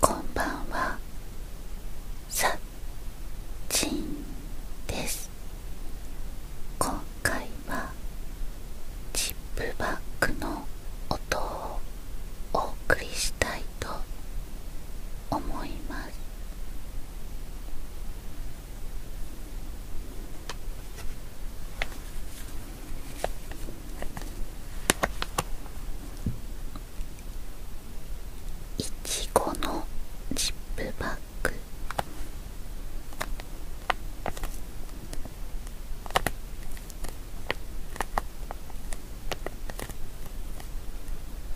こんばんはさちんです今回はチップバックの音をお送りしたいと思いますイチゴのジップバッグ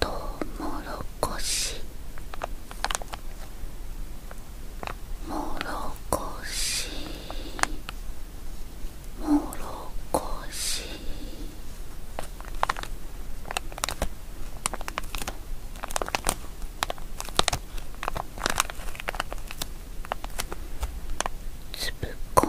とうもろこしもろこしもろこしつぶこん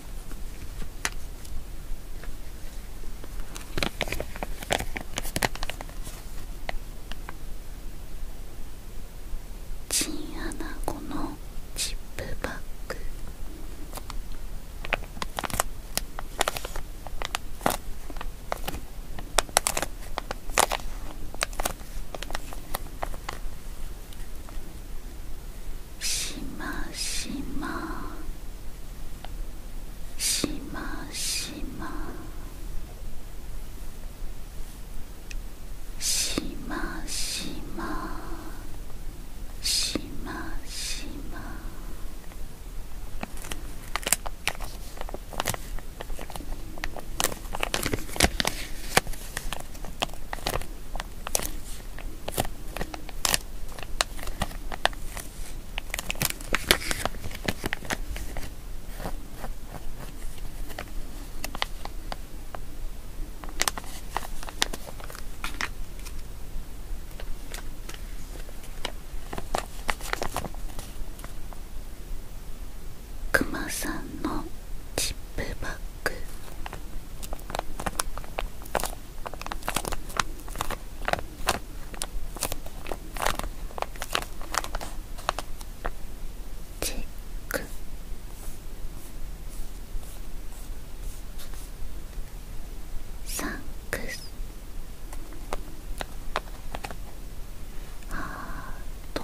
チンアナゴのチップバッグしましましましましましましましま…クマさんのチップバッグチェックサンクスハート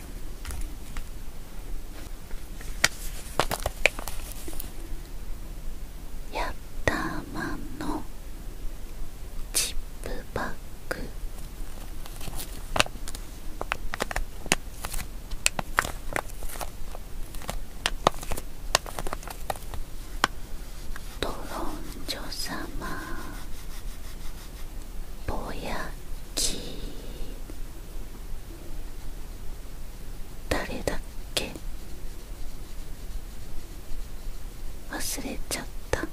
やったー、まんのチップバッグドロンジョ様ぼやき誰だっけ忘れちゃった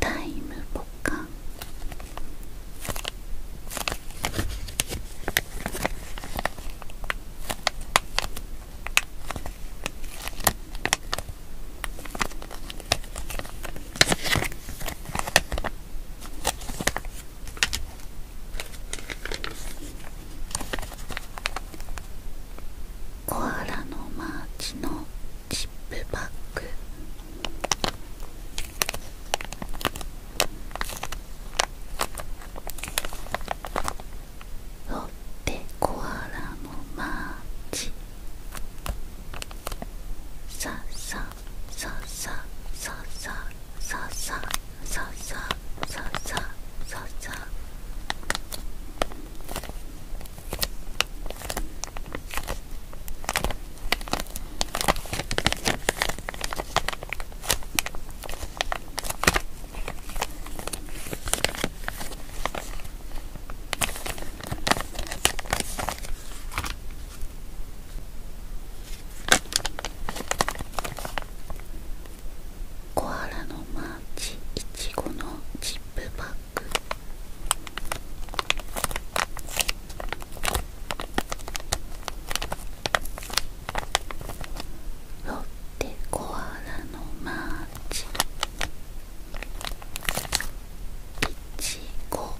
タイムボカンコアラのマーチのチップバッグロッテコアラのマーチささささささささささささささコアラのマーチイチゴのチップバッグロッテコアラのマーチいちご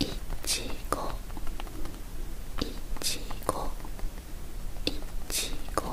いちごいちごいちご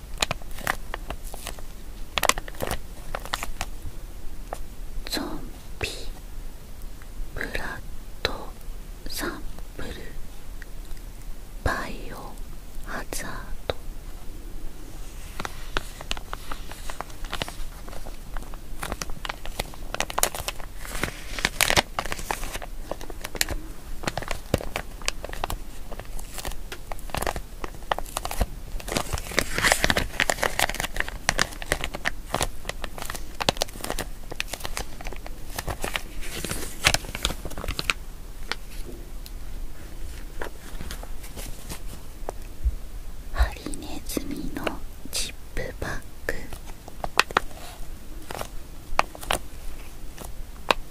ゾンビブラッドサンプルバイオハザードハリネズミのチップバッグ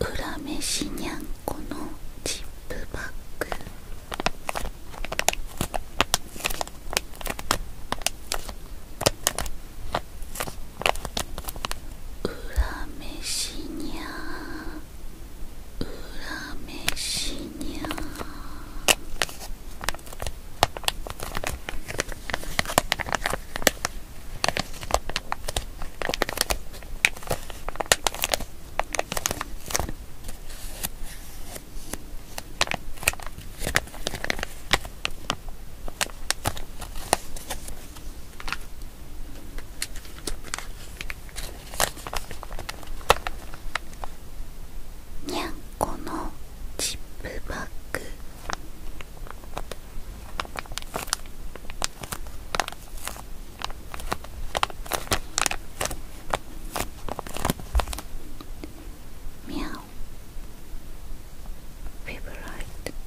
裏飯にゃんこのチップバッグ裏飯にゃー裏飯にゃー「にゃんこのチップバッグみゃんフブライト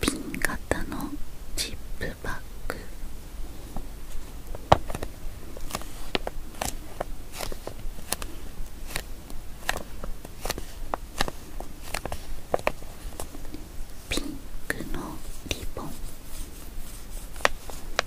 ピン型のチップバッグピンクのリボン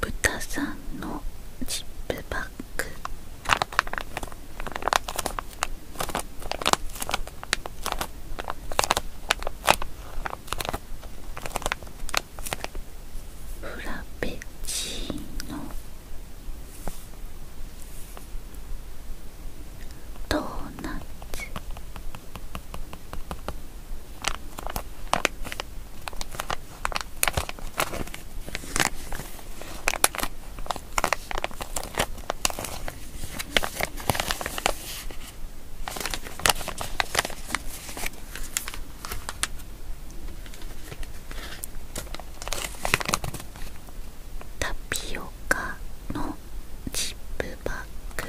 豚さんのジップバッグフラペチーノドーナツタピオカのチップバッグ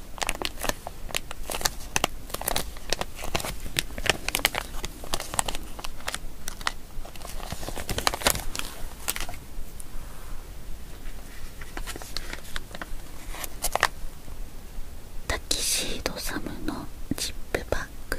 タキシードサムのチップバッグ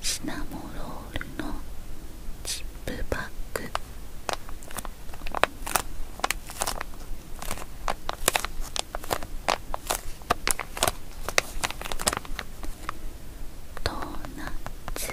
シナモロールのチップバッグドーナツ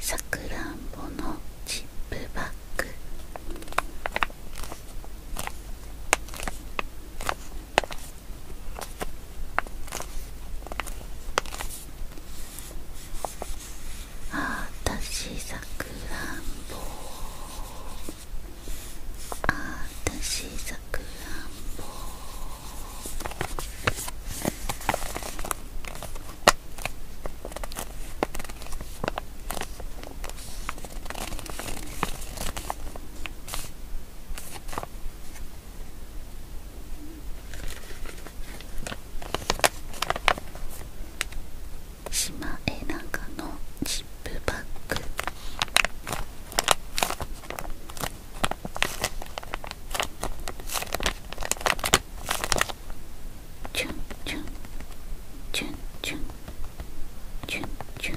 さくらんぼのチップバッグあたしさくらんぼあたしさくらんぼ島絵長のチップバッグチュンチュンチュンチュンチュンチュン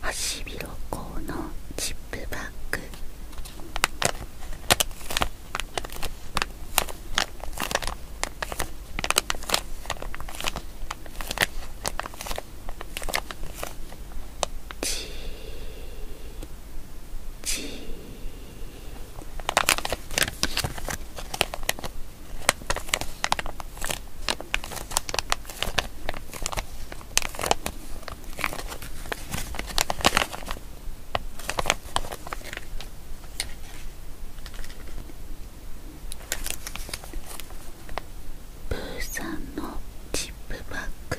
ハシビロコウのチップバッグチーチープーさんのチップバッグ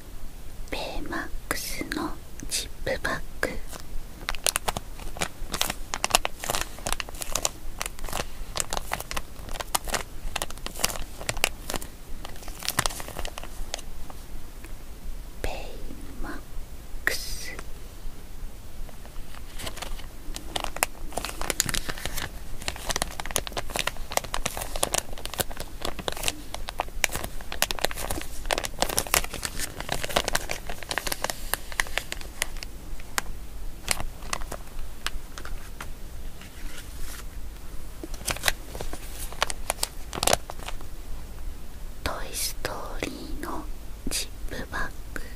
ペイマックスのチップバッグペイマックス「トイ・ストーリー」のチップバッグ「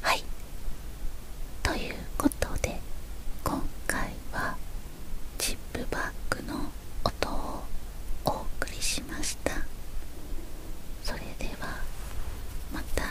はいということで今回はチップバッグの音をお送りしましたそれではまた